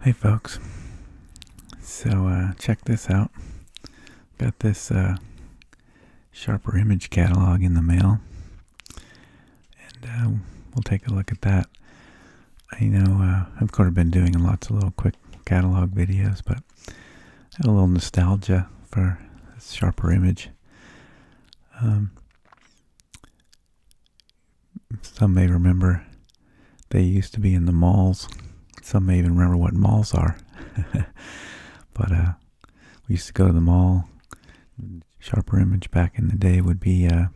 Hey folks, so uh, check this out. Got this uh, Sharper Image catalog in the mail, and uh, we'll take a look at that. I know I've kind of been doing lots of little quick catalog videos, but a little nostalgia for Sharper Image. Um, some may remember they used to be in the malls. Some may even remember what malls are. but uh, we used to go to the mall. Sharper Image back in the day would be, uh,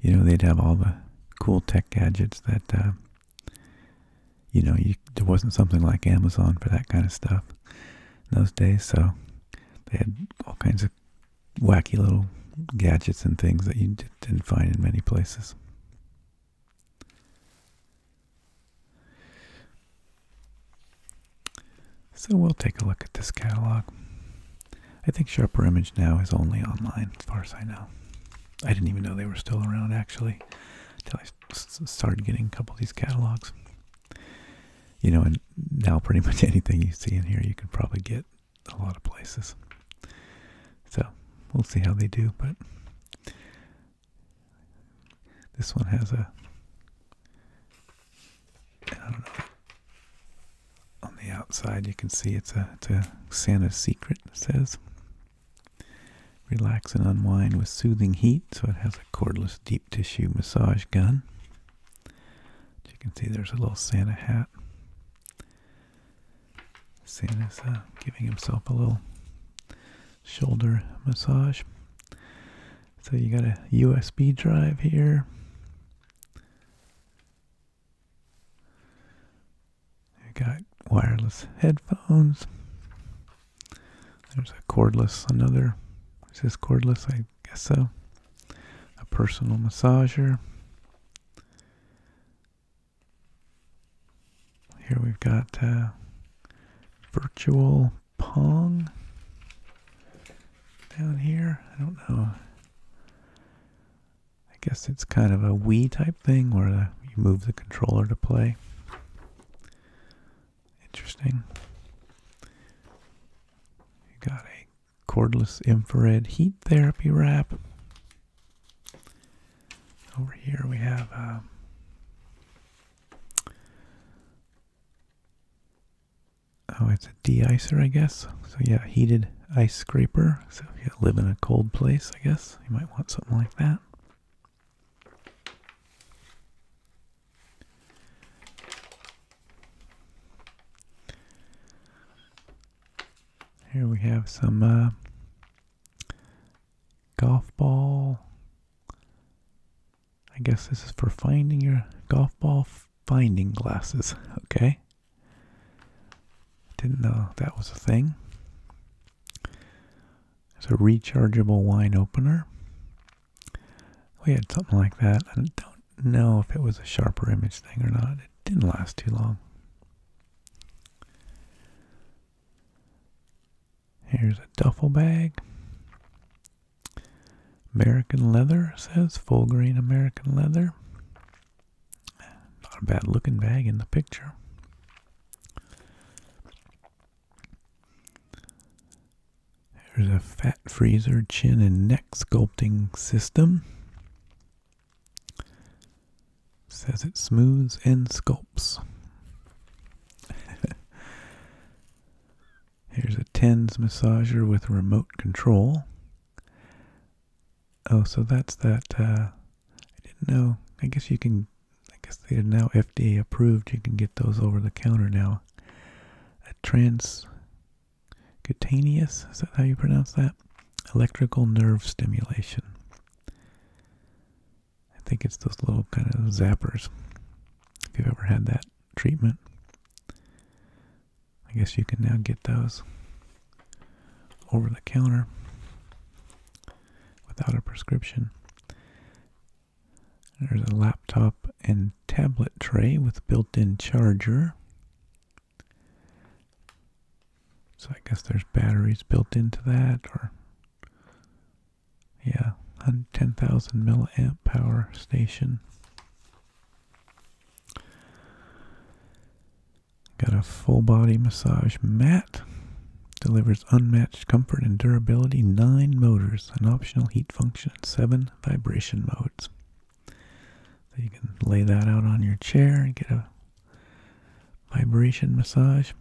you know, they'd have all the cool tech gadgets that, uh, you know, there wasn't something like Amazon for that kind of stuff in those days. So they had all kinds of wacky little gadgets and things that you didn't find in many places. So we'll take a look at this catalog. I think Sharper Image now is only online, as far as I know. I didn't even know they were still around, actually, until I started getting a couple of these catalogs. You know, and now pretty much anything you see in here, you can probably get a lot of places. So we'll see how they do, but this one has a. On the outside, you can see it's a, it's a Santa secret. says, "Relax and unwind with soothing heat." So it has a cordless deep tissue massage gun. But you can see there's a little Santa hat. Santa's uh, giving himself a little shoulder massage. So you got a USB drive here. You got wireless headphones. There's a cordless, another. Is this cordless? I guess so. A personal massager. Here we've got uh, virtual Pong down here. I don't know. I guess it's kind of a Wii type thing where uh, you move the controller to play. Interesting. You got a cordless infrared heat therapy wrap. Over here we have uh, oh, it's a de-icer, I guess. So yeah, heated ice scraper. So if you live in a cold place, I guess you might want something like that. Here we have some uh, golf ball. I guess this is for finding your golf ball finding glasses. Okay. Didn't know that was a thing. It's a rechargeable wine opener. We had something like that. I don't know if it was a sharper image thing or not. It didn't last too long. Here's a duffel bag. American leather says full grain American leather. Not a bad looking bag in the picture. There's a fat freezer chin and neck sculpting system. Says it smooths and sculpts. Here's a TENS massager with remote control. Oh, so that's that. Uh, I didn't know. I guess you can. I guess they are now FDA approved. You can get those over the counter now. A transcutaneous. Is that how you pronounce that? electrical nerve stimulation. I think it's those little kind of zappers. If you've ever had that treatment, I guess you can now get those over the counter without a prescription. There's a laptop and tablet tray with built in charger. So I guess there's batteries built into that, or yeah, 10,000 milliamp power station. Got a full body massage mat. Delivers unmatched comfort and durability. Nine motors, an optional heat function, seven vibration modes. So you can lay that out on your chair and get a vibration massage.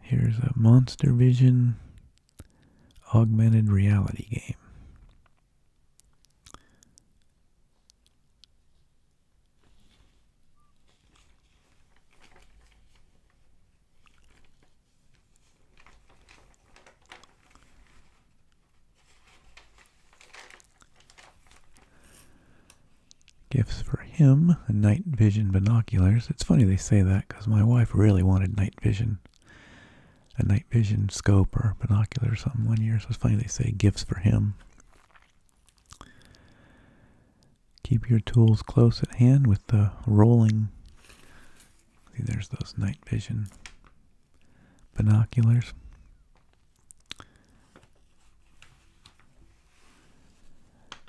Here's a Monster Vision augmented reality game. Gifts for him, night vision binoculars. It's funny they say that because my wife really wanted night vision, a night vision scope or binoculars or something one year. So it's funny they say gifts for him. Keep your tools close at hand with the rolling. See, there's those night vision binoculars.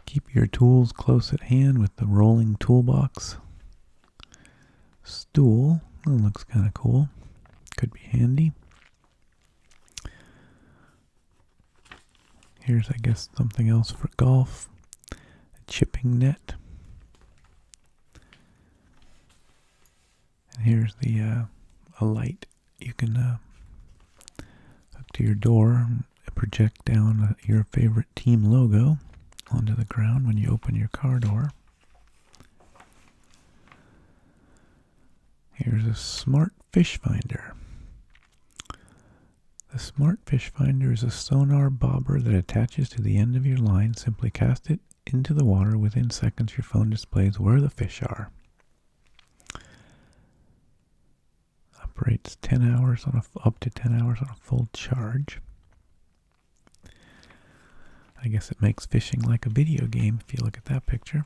Keep your tools close at hand with the rolling toolbox. Stool, that looks kind of cool. Could be handy. Here's, I guess, something else for golf. A chipping net. And here's the uh, a light you can uh, hook to your door and project down uh, your favorite team logo onto the ground when you open your car door. Here's a smart fish finder. The smart fish finder is a sonar bobber that attaches to the end of your line. Simply cast it into the water. Within seconds, your phone displays where the fish are. Operates 10 hours on a, up to 10 hours on a full charge. I guess it makes fishing like a video game if you look at that picture.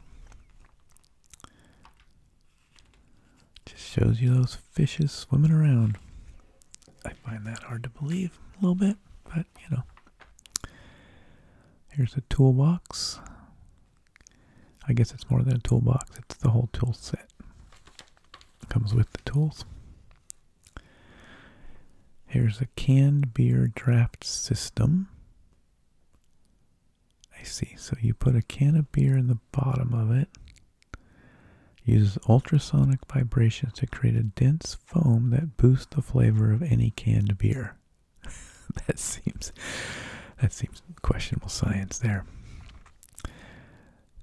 Just shows you those fishes swimming around. I find that hard to believe a little bit, but you know. Here's the toolbox. I guess it's more than a toolbox, it's the whole tool set. comes with the tools. Here's a canned beer draft system. I see. So you put a can of beer in the bottom of it, uses ultrasonic vibrations to create a dense foam that boosts the flavor of any canned beer. that seems that seems questionable science there.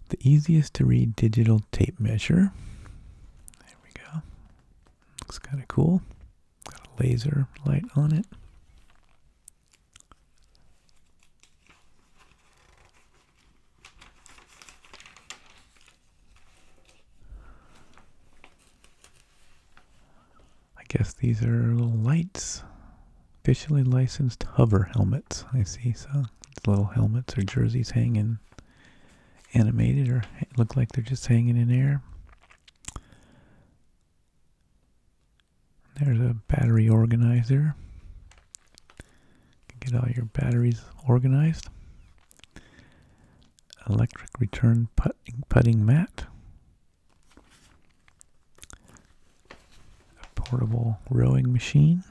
The easiest to read digital tape measure. There we go. Looks kind of cool. Got a laser light on it. I guess these are little lights. Officially licensed hover helmets. I see. So little helmets or jerseys hanging animated or look like they're just hanging in air. There's a battery organizer. get all your batteries organized. Electric return putting mat a portable rowing machine.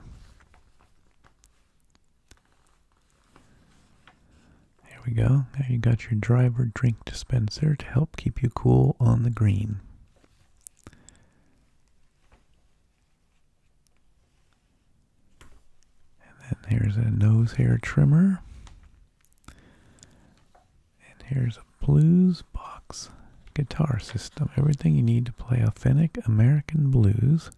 There we go. Now you got your driver drink dispenser to help keep you cool on the green. And then there's a nose hair trimmer. And here's a blues box guitar system. Everything you need to play authentic American blues.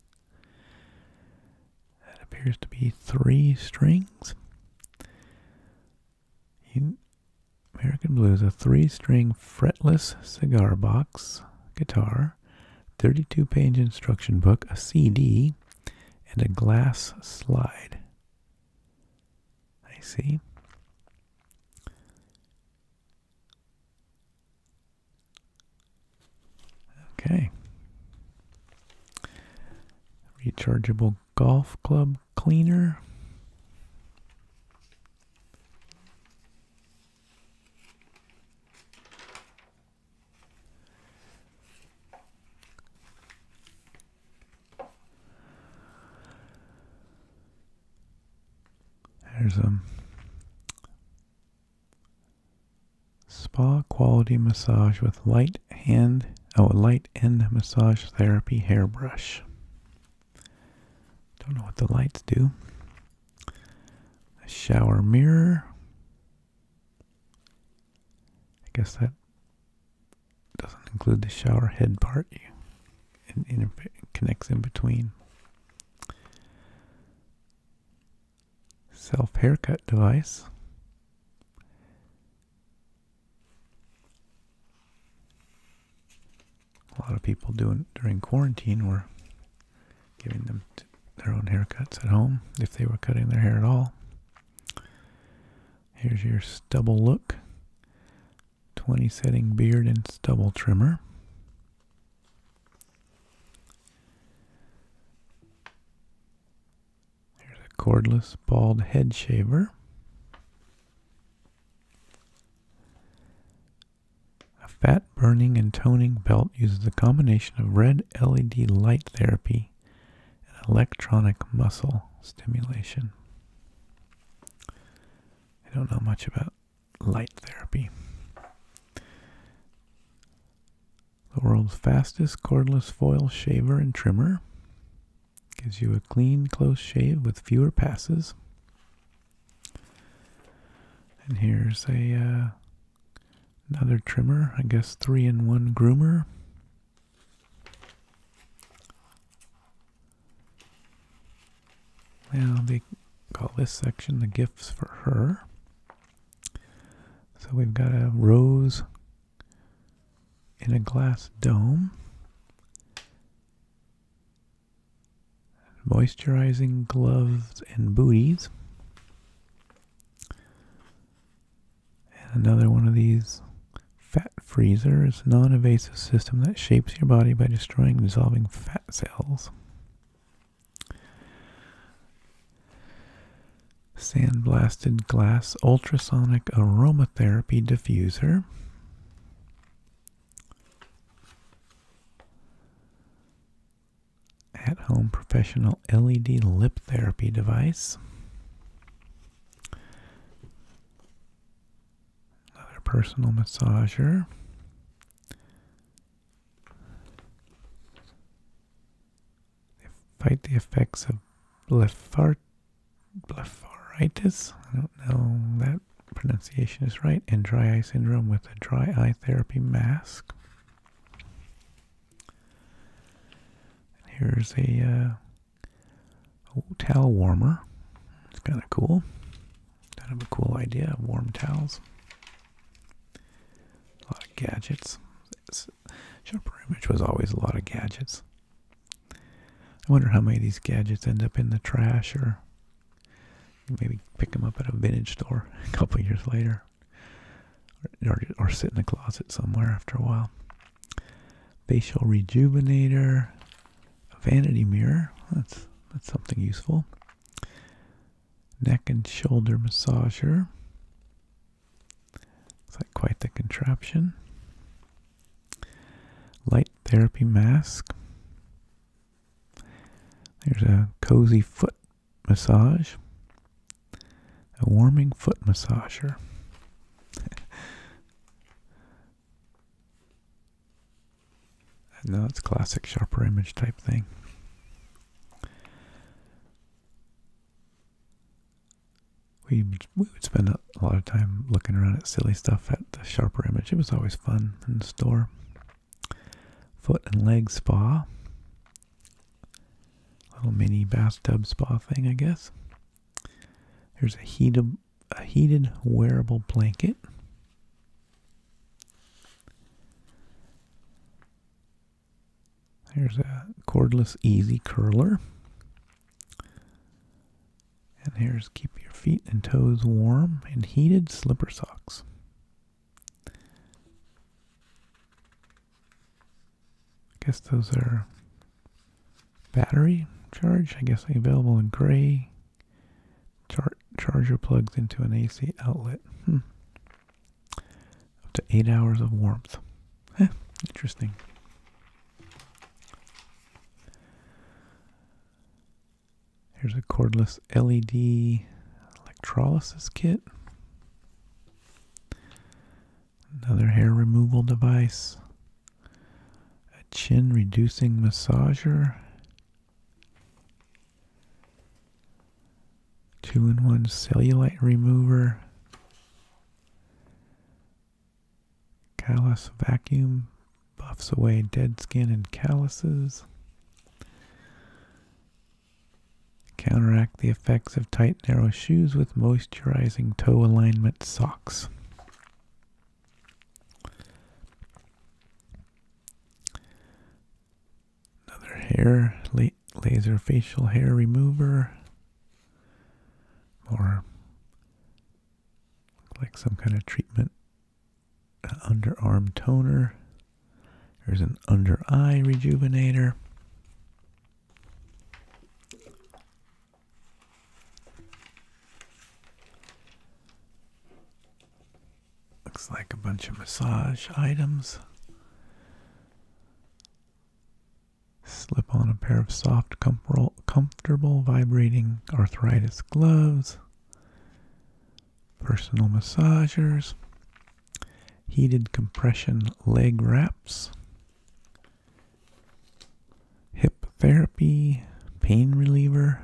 That appears to be three strings. American Blues, a three string fretless cigar box guitar, 32 page instruction book, a CD, and a glass slide. I see. Okay. Rechargeable golf club cleaner. There's a spa quality massage with light hand, oh, light end massage therapy hairbrush. Don't know what the lights do. A shower mirror. I guess that doesn't include the shower head part. it, it connects in between. Self haircut device. A lot of people doing during quarantine were giving them their own haircuts at home if they were cutting their hair at all. Here's your stubble look. 20 setting beard and stubble trimmer. Here's a cordless bald head shaver. A fat burning and toning belt uses a combination of red LED light therapy and electronic muscle stimulation. I don't know much about light therapy. The world's fastest cordless foil shaver and trimmer gives you a clean, close shave with fewer passes. And here's a uh, another trimmer, I guess three in one groomer. Now they call this section the gifts for her. So we've got a rose in a glass dome, moisturizing gloves and booties, and another one of these Fat freezer is a non-invasive system that shapes your body by destroying and dissolving fat cells. Sandblasted glass ultrasonic aromatherapy diffuser. At home professional LED lip therapy device. Another personal massager. fight the effects of blephar blepharitis. I don't know that pronunciation is right. And dry eye syndrome with a dry eye therapy mask. And here's a uh, Oh, towel warmer. It's kind of cool. Kind of a cool idea. of Warm towels. A lot of gadgets. Shopper Image was always a lot of gadgets. I wonder how many of these gadgets end up in the trash or maybe pick them up at a vintage store a couple years later or, sit in the closet somewhere after a while facial rejuvenator, vanity mirror. That's that's something useful. Neck and shoulder massager. It's like quite the contraption. Light therapy mask. There's a cozy foot massage. A warming foot massager. I know it's classic sharper image type thing. We, we would spend a lot of time looking around at silly stuff at the sharper image. It was always fun in the store. Foot and leg spa. Little mini bathtub spa thing, I guess. There's a heat a heated wearable blanket. There's a cordless easy curler. And here's keep your feet and toes warm and heated slipper socks. I guess those are battery charge, I guess available in gray. charger plugs into an AC outlet. Hmm. Up to eight hours of warmth. interesting. Here's a cordless LED electrolysis kit. Another hair removal device a chin reducing massager, two in one cellulite remover, callus vacuum buffs away dead skin and calluses. Counteract the effects of tight, narrow shoes with moisturizing toe alignment socks. Another hair la laser facial hair remover. More like some kind of treatment. underarm toner. There's an under eye rejuvenator. Looks like a bunch of massage items. Slip on a pair of soft, comfor comfortable, vibrating arthritis gloves, personal massagers, heated compression leg wraps, hip therapy, pain reliever,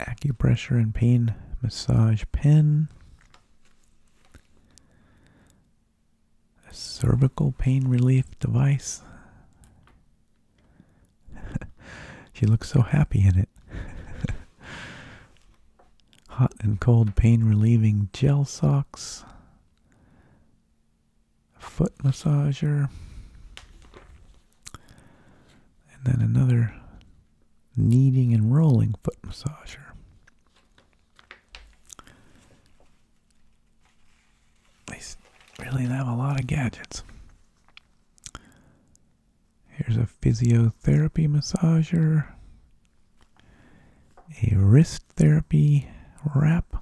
acupressure and pain massage pen, a cervical pain relief device. she looks so happy in it. Hot and cold pain relieving gel socks, foot massager, and then another kneading and rolling foot massager. They really have a lot of gadgets. Here's a physiotherapy massager, a wrist therapy wrap,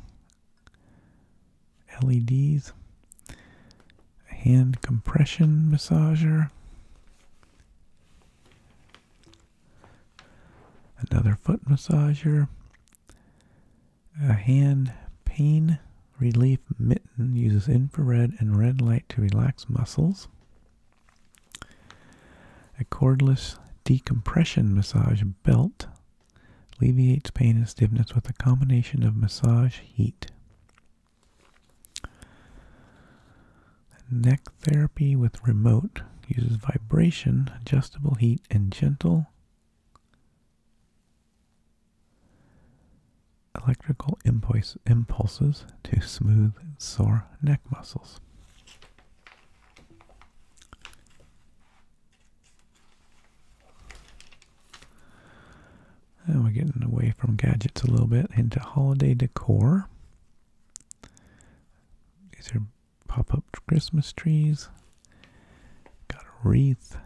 LEDs, hand compression massager, another foot massager, a hand pain relief mitten uses infrared and red light to relax muscles, a cordless decompression massage belt Alleviates pain and stiffness with a combination of massage, heat. Neck therapy with remote uses vibration, adjustable heat, and gentle electrical impulses to smooth sore neck muscles. And we're getting away from gadgets a little bit into holiday decor. These are pop up Christmas trees. Got a wreath.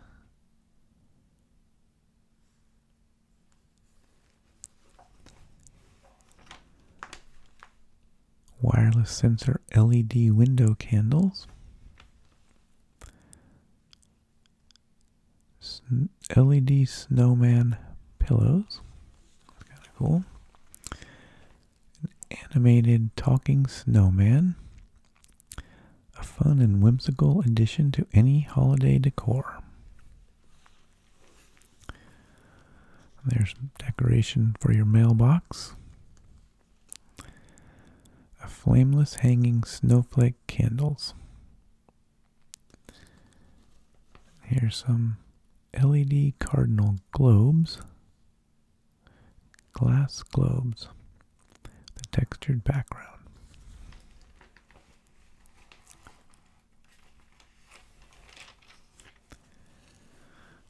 Wireless sensor LED window candles. LED snowman pillows. That's kind of cool. animated talking snowman. A fun and whimsical addition to any holiday decor. There's decoration for your mailbox. A flameless hanging snowflake candles. Here's some LED cardinal globes, glass globes, the textured background.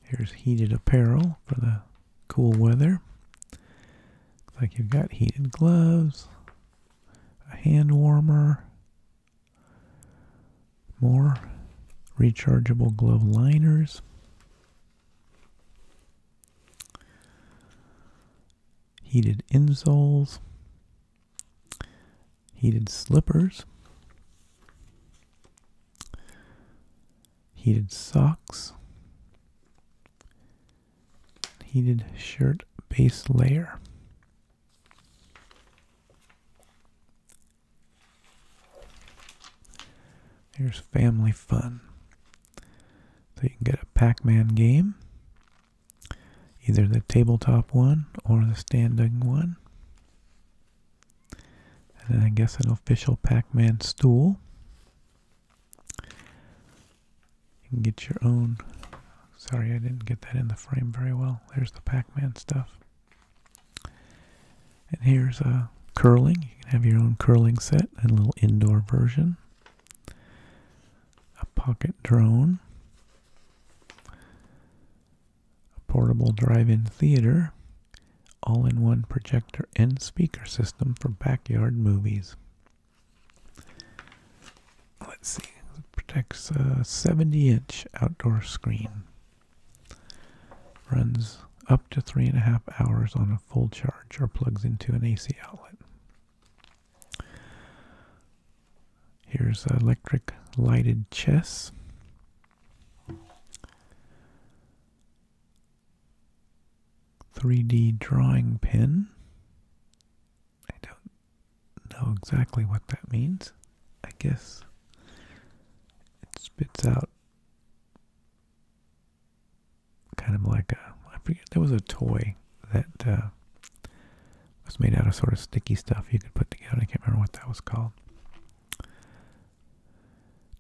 Here's heated apparel for the cool weather. Looks like you've got heated gloves, a hand warmer, more rechargeable glove liners. Heated insoles, heated slippers, heated socks, heated shirt base layer. Here's family fun. So you can get a Pac-Man game, either the tabletop one or the standing one. And then I guess an official Pac-Man stool. You can get your own. Sorry, I didn't get that in the frame very well. There's the Pac-Man stuff. And here's a uh, curling. You can have your own curling set and a little indoor version. A pocket drone. A portable drive-in theater. All-in-one projector and speaker system for backyard movies. Let's see. It protects a 70-inch outdoor screen. Runs up to three and a half hours on a full charge or plugs into an AC outlet. Here's electric lighted chess. 3D drawing pin. I don't know exactly what that means. I guess it spits out kind of like a, I forget, there was a toy that uh, was made out of sort of sticky stuff you could put together. I can't remember what that was called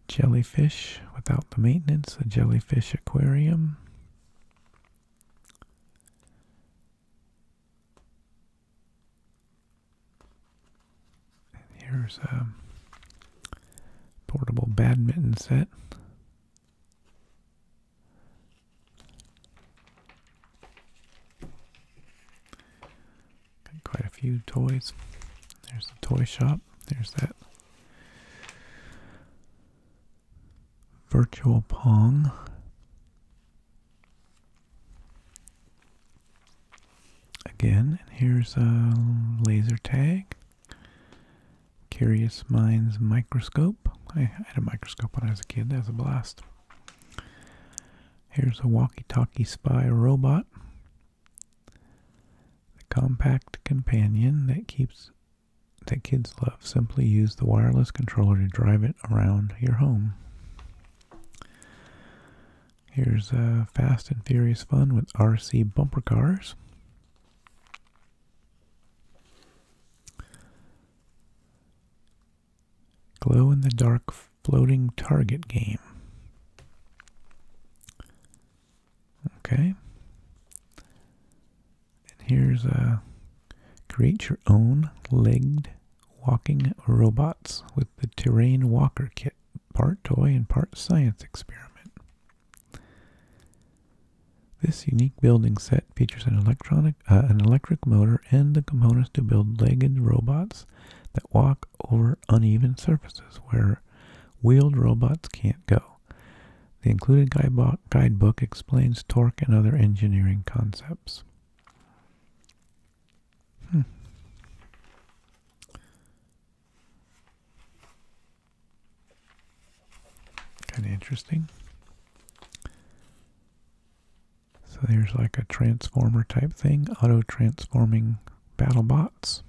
jellyfish without the maintenance, a jellyfish aquarium. here's a portable badminton set. Got quite a few toys. There's the toy shop. There's that Virtual Pong. Again, and here's a laser tag. Curious Minds microscope. I had a microscope when I was a kid. That was a blast. Here's a walkie-talkie spy robot. The compact companion that keeps that kids love. Simply use the wireless controller to drive it around your home. Here's uh, Fast and Furious Fun with RC bumper cars. Glow in the dark floating target game. Okay. And here's a uh, create your own legged walking robots with the terrain walker kit, part toy and part science experiment. This unique building set features an electronic, uh, an electric motor and the components to build legged robots that walk over uneven surfaces where wheeled robots can't go. The included guidebook explains torque and other engineering concepts. Hmm. Kind of interesting. So there's like a transformer type thing, auto transforming battle bots.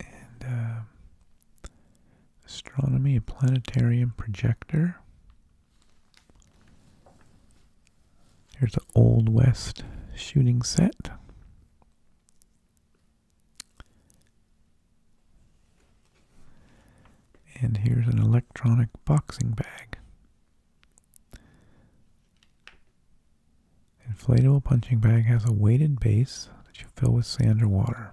And uh, astronomy, a planetarium projector. Here's an Old West shooting set. And here's an electronic boxing bag. Inflatable punching bag has a weighted base that you fill with sand or water.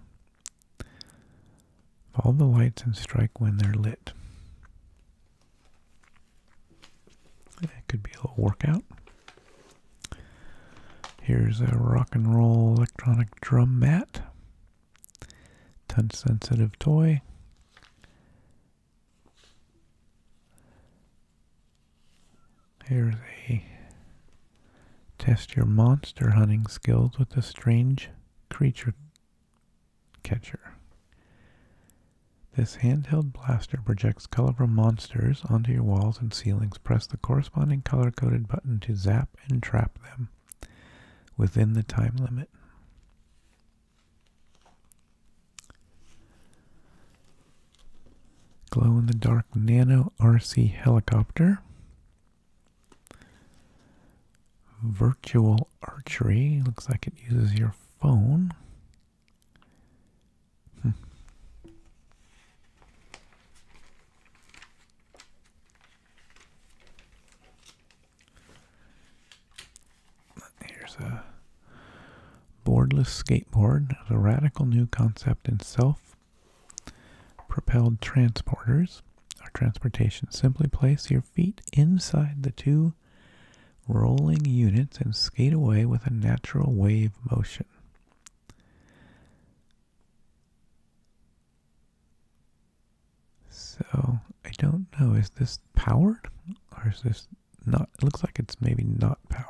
All the lights and strike when they're lit. That could be a little workout. Here's a rock and roll electronic drum mat. Touch sensitive toy. Here's a test your monster hunting skills with the strange creature catcher. This handheld blaster projects colorful monsters onto your walls and ceilings. Press the corresponding color coded button to zap and trap them within the time limit. Glow in the dark nano RC helicopter. Virtual archery. Looks like it uses your phone. Hmm. Here's a Boardless skateboard is a radical new concept in self propelled transporters Our transportation. Simply place your feet inside the two rolling units and skate away with a natural wave motion. So I don't know, is this powered or is this not, it looks like it's maybe not powered.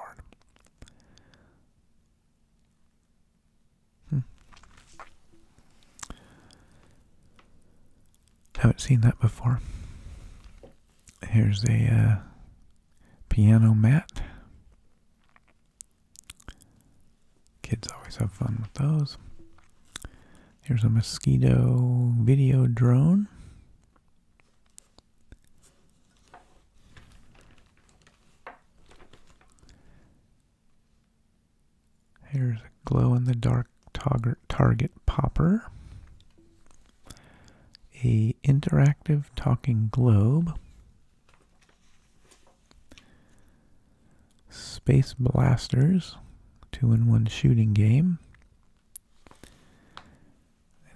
Hmm. Haven't seen that before. Here's a uh, piano mat. Kids always have fun with those. Here's a mosquito video drone. Here's a glow in the dark target popper. A interactive talking globe. Space Blasters, two in one shooting game.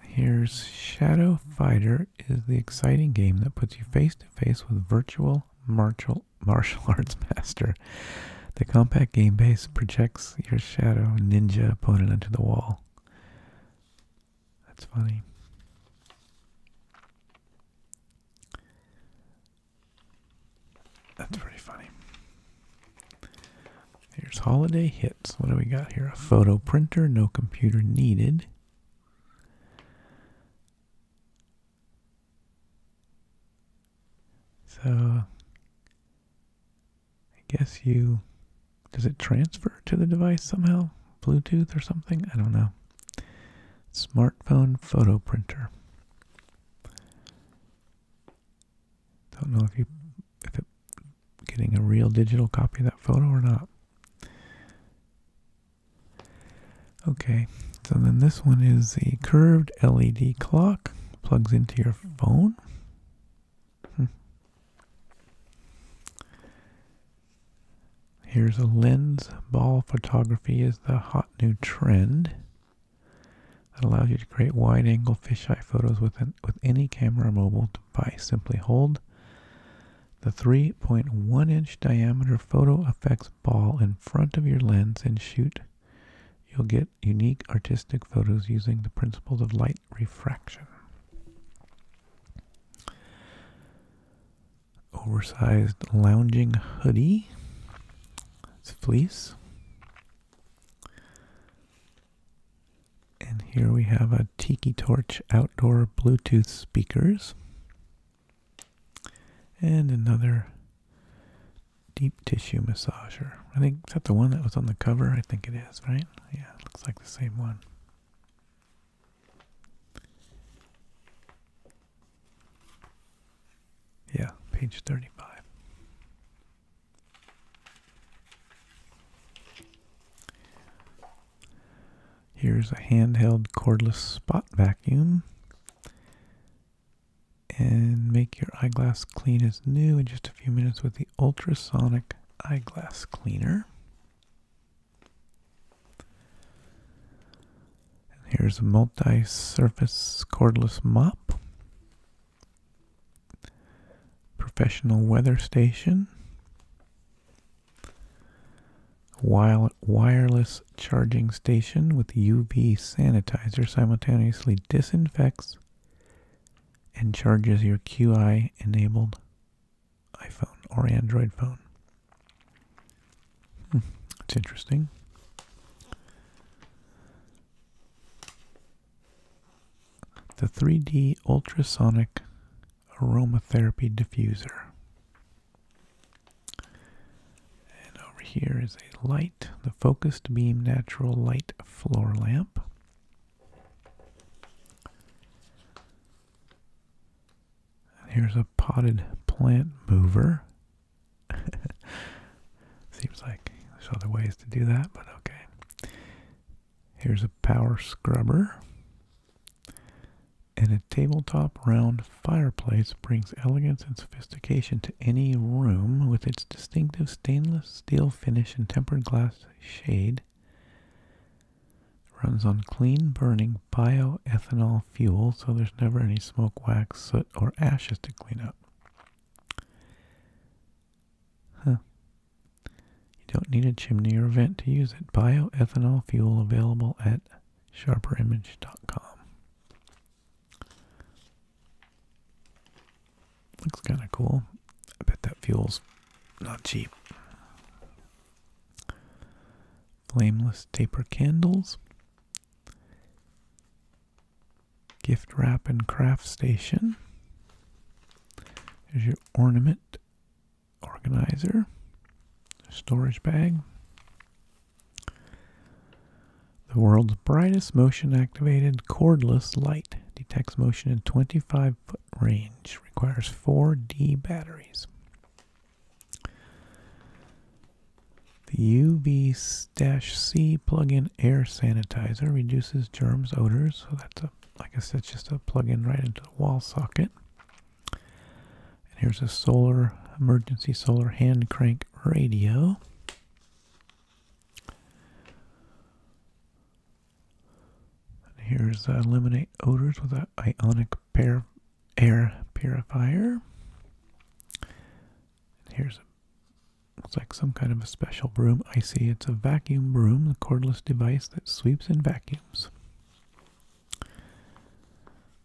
And here's Shadow Fighter is the exciting game that puts you face to face with virtual martial martial arts master. The compact game base projects your shadow ninja opponent into the wall. That's funny. That's pretty funny. There's holiday hits. What do we got here? A photo printer, no computer needed. So I guess you does it transfer to the device somehow? Bluetooth or something? I don't know. Smartphone photo printer. Don't know if you if it getting a real digital copy of that photo or not. Okay, so then this one is the curved LED clock, plugs into your phone. Hmm. Here's a lens ball photography is the hot new trend that allows you to create wide-angle fisheye photos with an, with any camera or mobile device. Simply hold the 3.1 inch diameter photo effects ball in front of your lens and shoot. You'll get unique artistic photos using the principles of light refraction. Oversized lounging hoodie. It's fleece. And here we have a Tiki Torch outdoor Bluetooth speakers. And another deep tissue massager. I think is that the one that was on the cover? I think it is, right? Yeah, looks like the same one. Yeah, page 35. Here's a handheld cordless spot vacuum. And make your eyeglass clean as new in just a few minutes with the ultrasonic eyeglass cleaner. And here's a multi surface cordless mop, professional weather station. Wireless charging station with UV sanitizer simultaneously disinfects and charges your QI enabled iPhone or Android phone. it's hmm, interesting. The 3D ultrasonic aromatherapy diffuser. And over here is a light, the Focused Beam Natural Light Floor Lamp. here's a potted plant mover. Seems like there's other ways to do that, but okay. Here's a power scrubber. And a tabletop round fireplace brings elegance and sophistication to any room with its distinctive stainless steel finish and tempered glass shade. Runs on clean burning bioethanol fuel, so there's never any smoke, wax, soot, or ashes to clean up. Huh. You don't need a chimney or vent to use it. Bioethanol fuel available at sharperimage.com. Looks kind of cool. I bet that fuel's not cheap. Flameless taper candles. Gift wrap and craft station. There's your ornament organizer, storage bag, the world's brightest motion activated cordless light. Detects motion in 25 foot range. Requires 4D batteries. The UV-C plug-in air sanitizer reduces germs, odors. So that's a, like I said, just a plug-in right into the wall socket. And here's a solar emergency solar hand crank radio. And here's uh, eliminate odors with an ionic pair air purifier. And here's a it's like some kind of a special broom. I see it's a vacuum broom, a cordless device that sweeps and vacuums.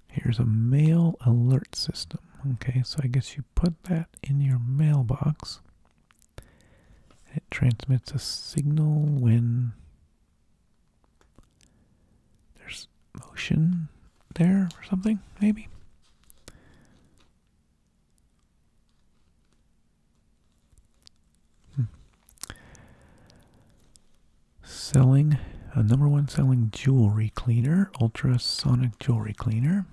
Here's a mail alert system. Okay, so I guess you put that in your mailbox. It transmits a signal when there's motion there or something, maybe. Selling a number one selling jewelry cleaner, ultrasonic jewelry cleaner.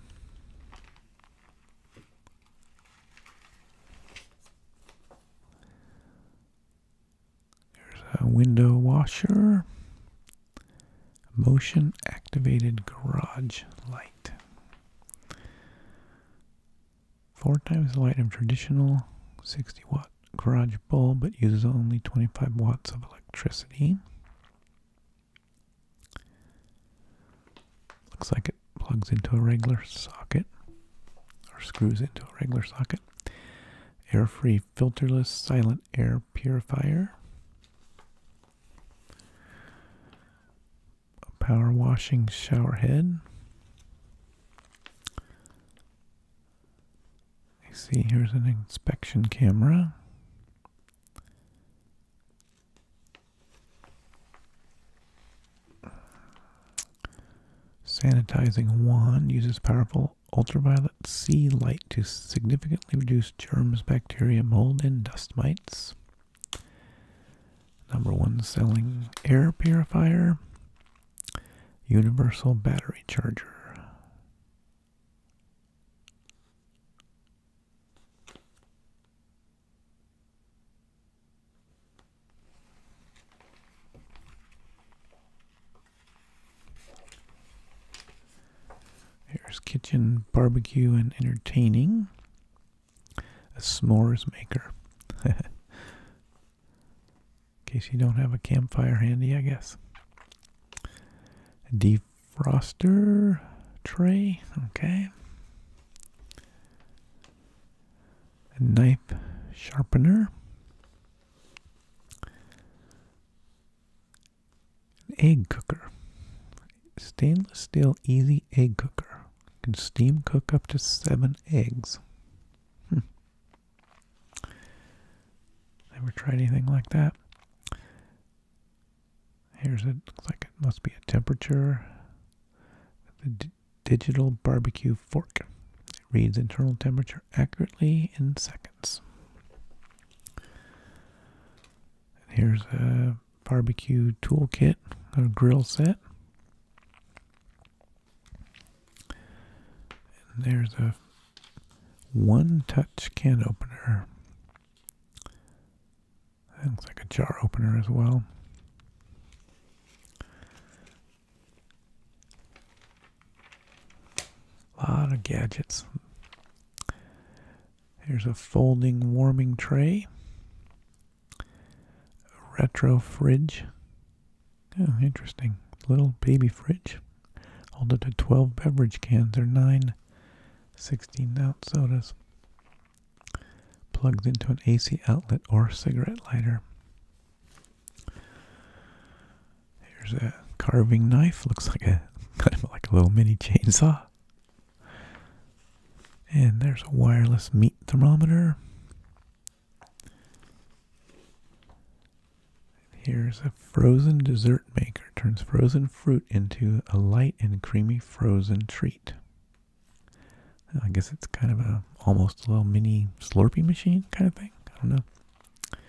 There's a window washer, motion activated garage light. Four times the light of traditional 60 watt garage bulb, but uses only 25 watts of electricity. Looks like it plugs into a regular socket or screws into a regular socket. Air free filterless silent air purifier. A power washing shower head. I see here's an inspection camera. Sanitizing wand uses powerful ultraviolet C light to significantly reduce germs, bacteria, mold, and dust mites. Number one selling air purifier. Universal battery charger. Here's kitchen barbecue and entertaining. A s'mores maker. In case you don't have a campfire handy, I guess. Defroster tray, okay. A knife sharpener. egg cooker. Stainless steel easy egg cooker. can steam cook up to seven eggs. Hmm. Ever tried anything like that. Here's it. Looks like it must be a temperature. The digital barbecue fork. reads internal temperature accurately in seconds. here's a barbecue toolkit, a grill set. And there's a one touch can opener. That looks like a jar opener as well. A lot of gadgets. Here's a folding warming tray, retro fridge, Oh, interesting. Little baby fridge. Hold up to 12 beverage cans or 9 16-ounce sodas. Plugged into an AC outlet or cigarette lighter. Here's a carving knife. Looks like a kind of like a little mini chainsaw. And there's a wireless meat thermometer. Here's a frozen dessert maker turns frozen fruit into a light and creamy frozen treat. I guess it's kind of a almost a little mini slurpee machine kind of thing. I don't know.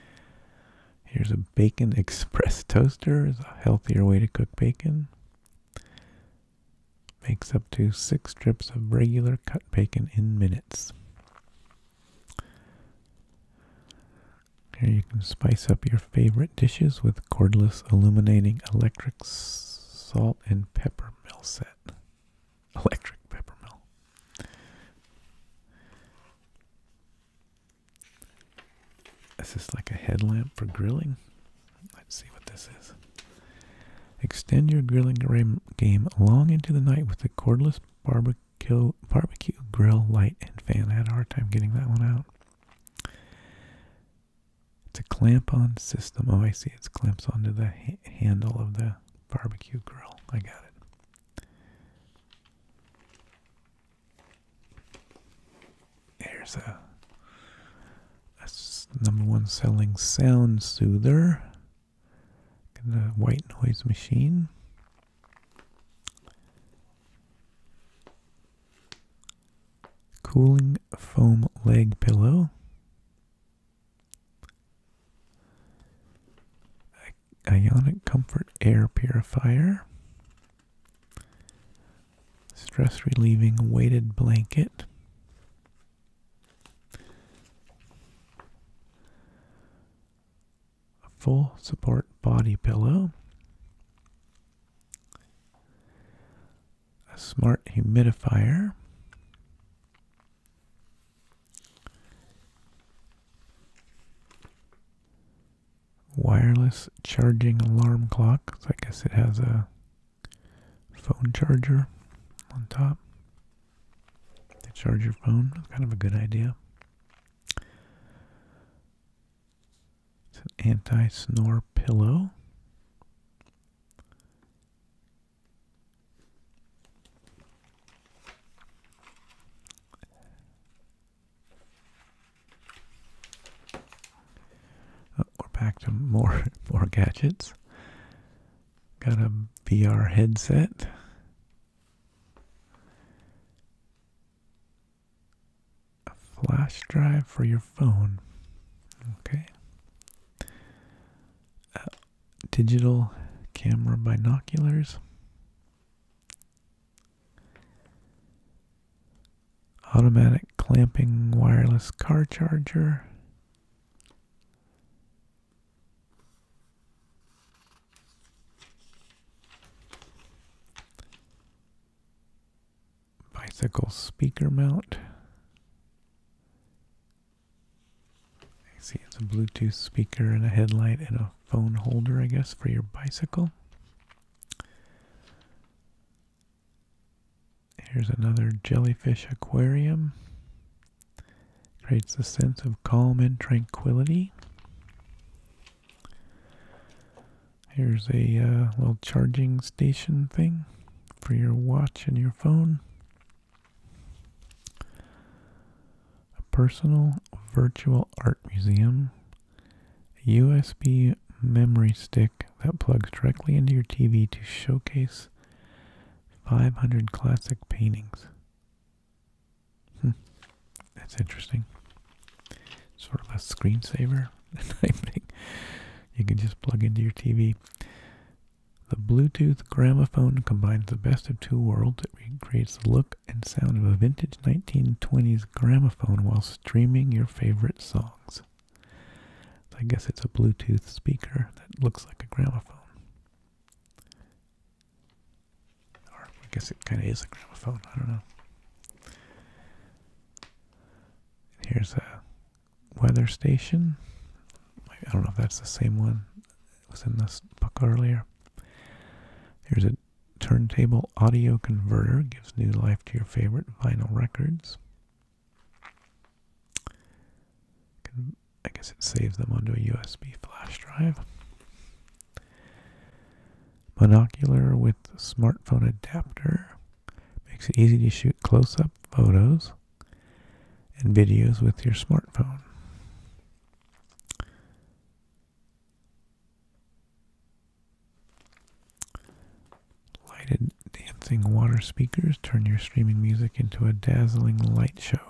Here's a bacon express toaster is a healthier way to cook bacon. Makes up to six strips of regular cut bacon in minutes. Here you can spice up your favorite dishes with cordless illuminating electric salt and pepper mill set. Electric pepper mill. This is like a headlamp for grilling. Let's see what this is. Extend your grilling game long into the night with the cordless barbecue Kill, barbecue, grill, light, and fan. I had a hard time getting that one out. It's a clamp-on system. Oh, I see. It's clamps onto the handle of the barbecue grill. I got it. There's a, a number one selling sound soother a white noise machine. Cooling foam leg pillow. Ionic comfort air purifier. Stress relieving weighted blanket a full support body pillow, a smart humidifier, wireless charging alarm clock. I guess it has a phone charger on top to charge your phone. kind of a good idea. It's an anti-snore pillow. Oh, we're back to more more gadgets. Got a VR headset a flash drive for your phone. Okay. digital camera binoculars. Automatic clamping wireless car charger. Bicycle speaker mount. see it's a Bluetooth speaker and a headlight and a phone holder, I guess, for your bicycle. Here's another jellyfish aquarium. Creates a sense of calm and tranquility. Here's a uh, little charging station thing for your watch and your phone. A personal virtual art museum. USB memory stick that plugs directly into your TV to showcase 500 classic paintings. Hmm. That's interesting. Sort of a screensaver type thing. You can just plug into your TV. The Bluetooth gramophone combines the best of two worlds. It recreates the look and sound of a vintage 1920s gramophone while streaming your favorite songs. I guess it's a Bluetooth speaker that looks like a gramophone. Or I guess it kind of is a gramophone. I don't know. Here's a weather station. I don't know if that's the same one that was in this book earlier. Here's a turntable audio converter. Gives new life to your favorite vinyl records. I guess it saves them onto a USB flash drive. Monocular with smartphone adapter makes it easy to shoot close up photos and videos with your smartphone. Lighted dancing water speakers turn your streaming music into a dazzling light show.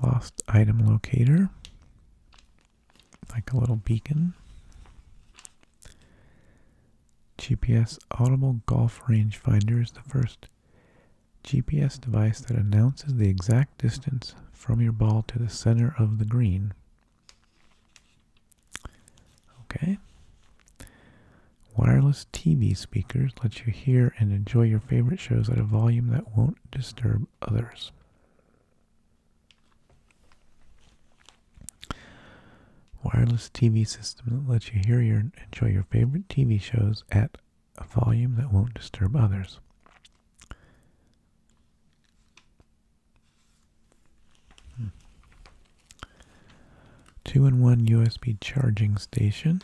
Lost item locator, like a little beacon. GPS Audible Golf Range Finder is the first GPS device that announces the exact distance from your ball to the center of the green Okay. Wireless TV speakers let you hear and enjoy your favorite shows at a volume that won't disturb others. Wireless TV system that lets you hear your enjoy your favorite TV shows at a volume that won't disturb others. Two in one USB charging station.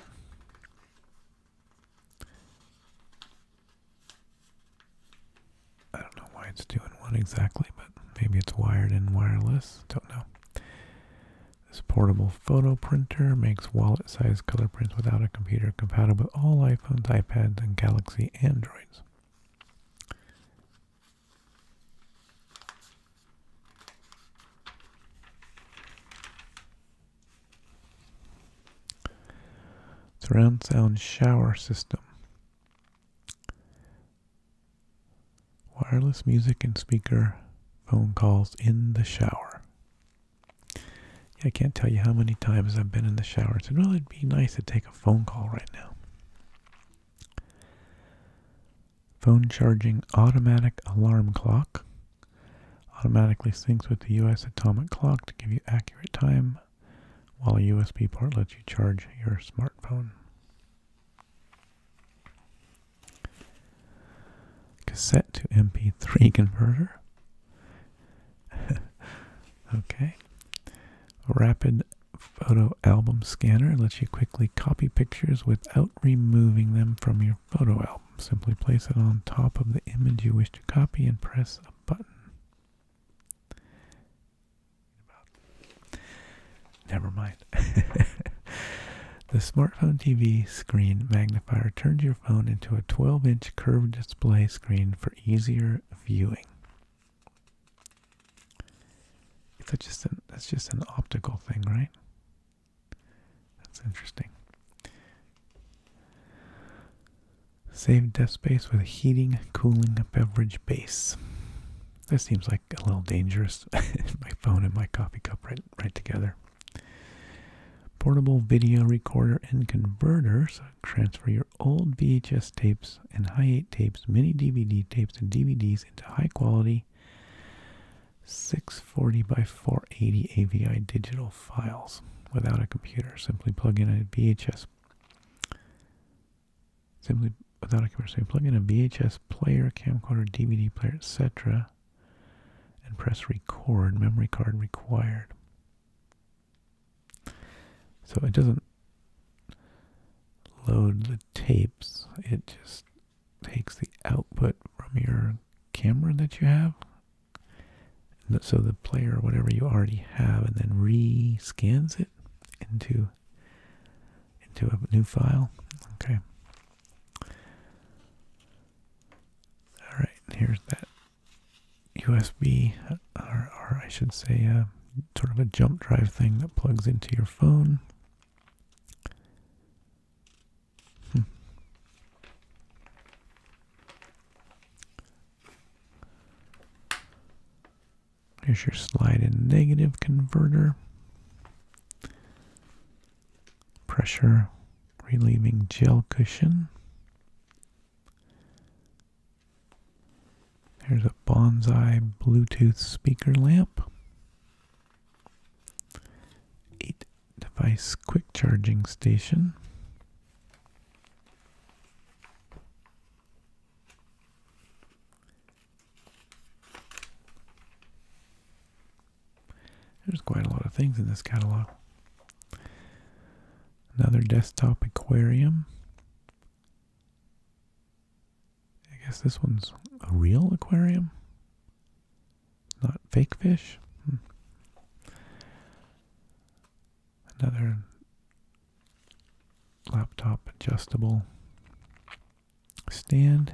I don't know why it's two in one exactly, but maybe it's wired and wireless. Don't know. This portable photo printer makes wallet sized color prints without a computer compatible with all iPhones, iPads, and Galaxy Androids. Surround sound shower system. Wireless music and speaker phone calls in the shower. I can't tell you how many times I've been in the shower and said, well, it'd be nice to take a phone call right now. Phone charging automatic alarm clock automatically syncs with the US atomic clock to give you accurate time, while a USB port lets you charge your smartphone. Cassette to MP3 converter. okay. Rapid photo album scanner lets you quickly copy pictures without removing them from your photo album. Simply place it on top of the image you wish to copy and press a button. Never mind. the smartphone TV screen magnifier turns your phone into a 12 inch curved display screen for easier viewing. It's just an, that's just an optical thing, right? That's interesting. Save desk space with a heating, cooling, beverage base. This seems like a little dangerous. my phone and my coffee cup right, right together. Portable video recorder and converter. So transfer your old VHS tapes and hi 8 tapes, mini DVD tapes, and DVDs into high quality 640 by 480 AVI digital files without a computer. Simply plug in a VHS. Simply without a computer. simply plug in a VHS player, camcorder, DVD player, etc. and press record, memory card required. So it doesn't load the tapes, it just takes the output from your camera that you have. So the player, whatever you already have, and then re-scans it into into a new file. Okay. All right. Here's that USB, or, I should say, uh, sort of a jump drive thing that plugs into your phone. Hmm. Here's your slide in negative converter. Pressure relieving gel cushion. There's a bonsai Bluetooth speaker lamp. 8 device quick charging station. There's quite a lot of things in this catalog. Another desktop aquarium. I guess this one's a real aquarium, not fake fish. Hmm. Another laptop adjustable stand,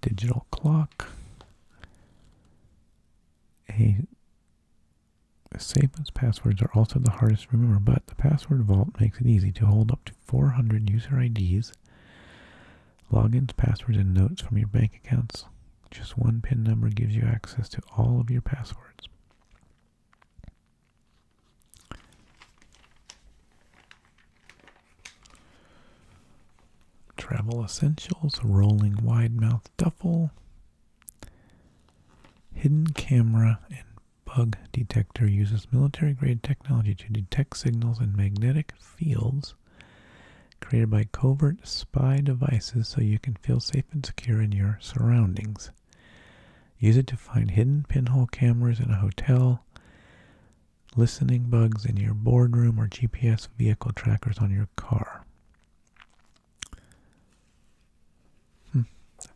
digital clock, a Savements passwords are also the hardest to remember, but the password vault makes it easy to hold up to 400 user IDs Logins, passwords, and notes from your bank accounts. Just one PIN number gives you access to all of your passwords. Travel Essentials, Rolling Wide Mouth Duffel, Hidden Camera, and bug detector uses military grade technology to detect signals and magnetic fields created by covert spy devices so you can feel safe and secure in your surroundings. Use it to find hidden pinhole cameras in a hotel, listening bugs in your boardroom, or GPS vehicle trackers on your car. Hmm,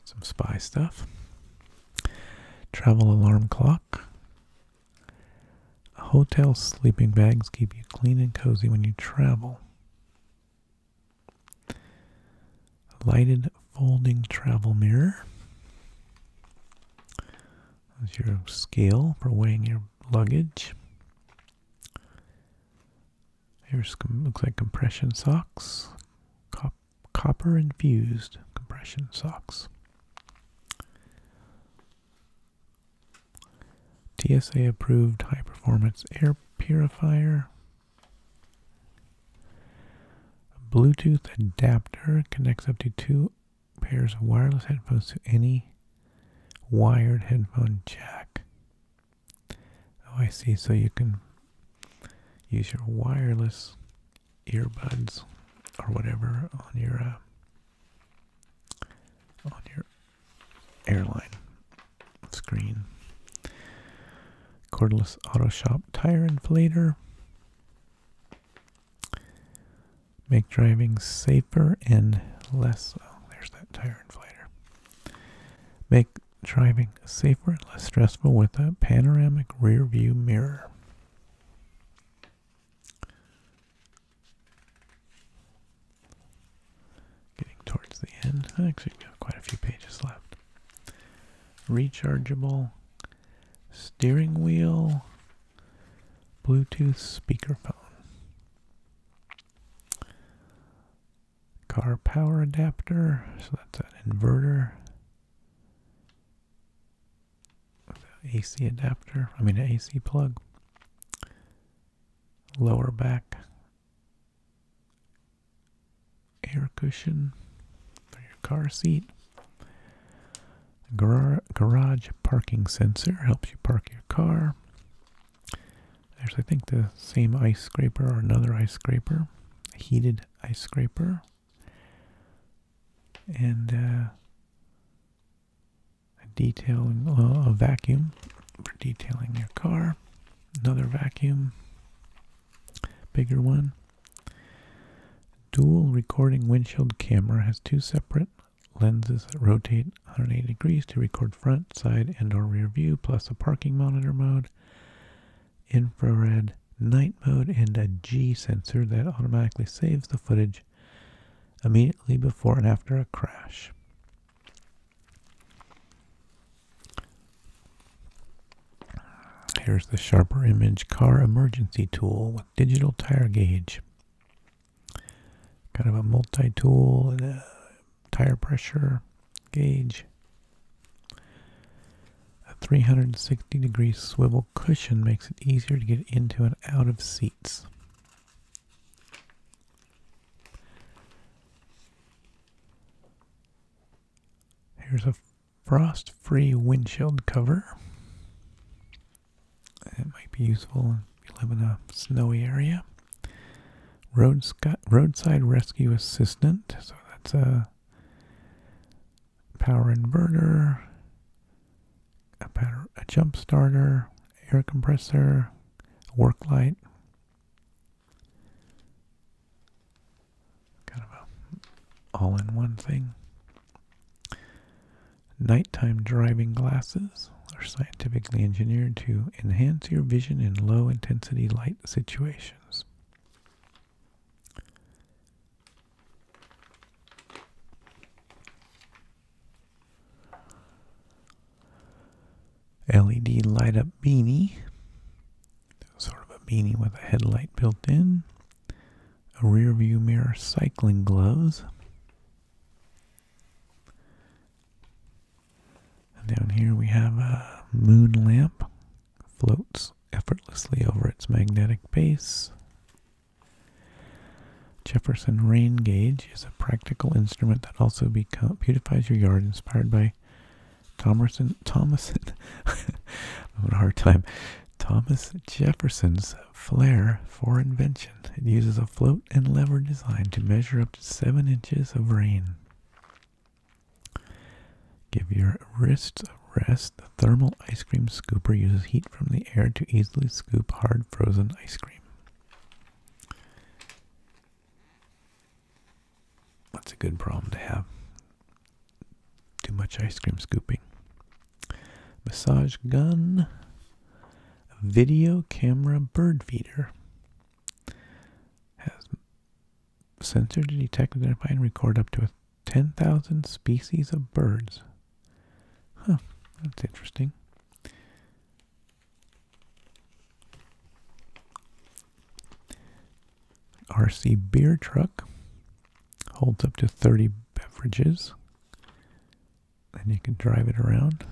some spy stuff. Travel alarm clock. Hotel sleeping bags keep you clean and cozy when you travel. Lighted folding travel mirror. That's your scale for weighing your luggage. Here's looks like compression socks, copper infused compression socks. TSA approved high performance air purifier. Bluetooth adapter connects up to two pairs of wireless headphones to any wired headphone jack. Oh, I see. So you can use your wireless earbuds or whatever on your uh, on your airline screen. Cordless Auto Shop tire inflator. Make driving safer and less. Oh, there's that tire inflator. Make driving safer and less stressful with a panoramic rear view mirror. Getting towards the end. Actually, we have quite a few pages left. Rechargeable steering wheel, Bluetooth speakerphone, car power adapter. So that's an inverter. AC adapter, I mean, an AC plug, lower back air cushion for your car seat. garage parking sensor helps you park your car. There's, I think, the same ice scraper or another ice scraper, heated ice scraper and uh, a detailing uh, a vacuum for detailing your car. Another vacuum, bigger one. Dual recording windshield camera has two separate lenses that rotate 180 degrees to record front, side, and or rear view, plus a parking monitor mode, infrared night mode and a G sensor that automatically saves the footage immediately before and after a crash. Here's the Sharper Image Car Emergency Tool with digital tire gauge. Kind of a multi-tool and a tire pressure gauge. A 360 60 degree swivel cushion makes it easier to get into and out of seats. Here's a frost free windshield cover. It might be useful if you live in a snowy area. Roadside Rescue Assistant, so that's a power inverter, a, jump starter, air compressor, work light. Kind of a all in one thing. Nighttime driving glasses are scientifically engineered to enhance your vision in low intensity light situations. LED light up beanie, sort of a beanie with a headlight built in, a rear view mirror cycling gloves. down here we have a moon lamp, floats effortlessly over its magnetic base. Jefferson rain gauge is a practical instrument that also beautifies your yard, inspired by Thomas Jefferson's flair for invention. It uses a float and lever design to measure up to seven inches of rain. Give your wrists a rest the thermal ice cream scooper uses heat from the air to easily scoop hard frozen ice cream. That's a good problem to have. Too much ice cream scooping. Massage gun. Video camera bird feeder. Has sensor to detect, identify, and record up to 10,000 species of birds. Huh, that's interesting. RC beer truck holds up to 30 beverages. And you can drive it around.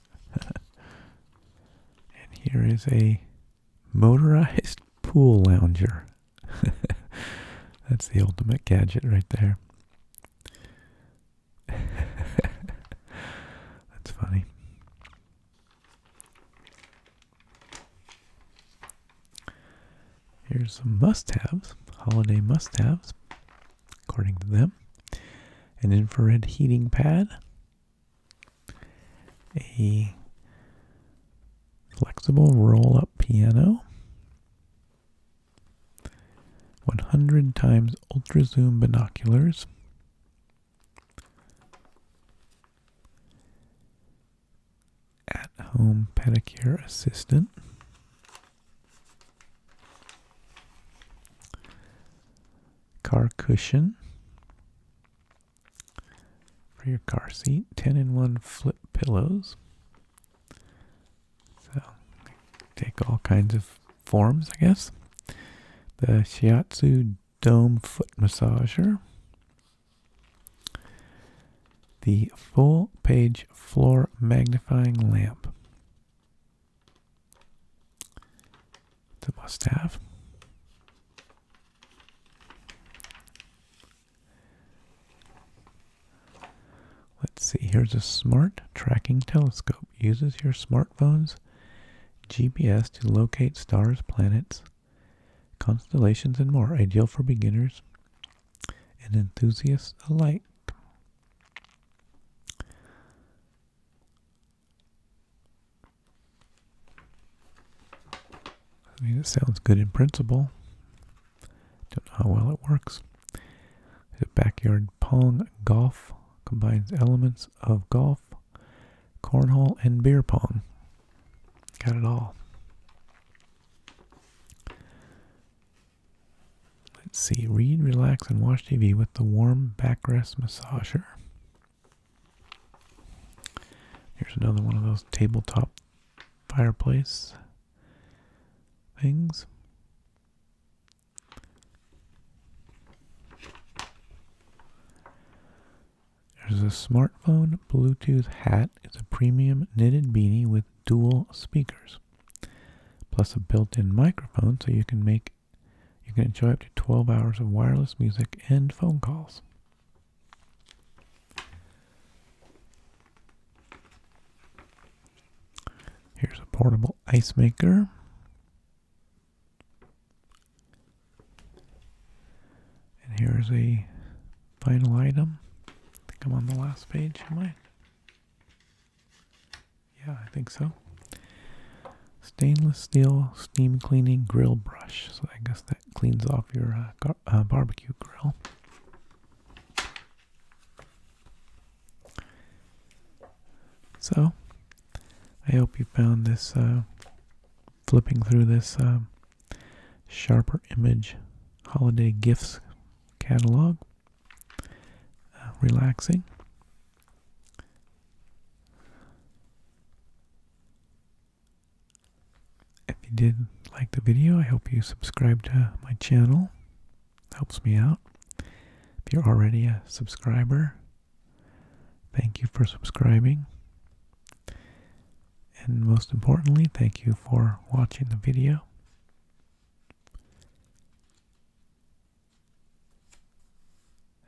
and here is a motorized pool lounger. That's the ultimate gadget right there. That's funny. Here's some must haves, holiday must haves, according to them an infrared heating pad, a flexible roll up piano, 100 times ultra zoom binoculars. At home pedicure assistant. Car cushion for your car seat. 10 in 1 flip pillows. So take all kinds of forms, I guess. The Shiatsu Dome Foot Massager. The full page floor magnifying lamp. the must have. Let's see, here's a smart tracking telescope. Uses your smartphone's GPS to locate stars, planets, constellations, and more. Ideal for beginners and enthusiasts alike. I mean, it sounds good in principle. Don't know how well it works. The backyard pong golf combines elements of golf, cornhole, and beer pong. Got it all. Let's see. Read, relax, and watch TV with the warm backrest massager. Here's another one of those tabletop fireplace things. There's a smartphone Bluetooth hat. It's a premium knitted beanie with dual speakers, plus a built-in microphone so you can make you can enjoy up to 12 hours of wireless music and phone calls. Here's a portable ice maker. And here's a final item. I think I'm on the last page, am I? Yeah, I think so. Stainless steel steam cleaning grill brush. So I guess that cleans off your uh, uh, barbecue grill. So, I hope you found this uh, flipping through this uh, sharper image holiday gifts catalog uh, relaxing. If you did like the video, I hope you subscribe to my channel helps me out. If you're already a subscriber, thank you for subscribing. And most importantly, thank you for watching the video.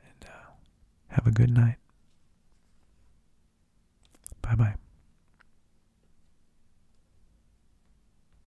And uh, have a good night. Bye bye.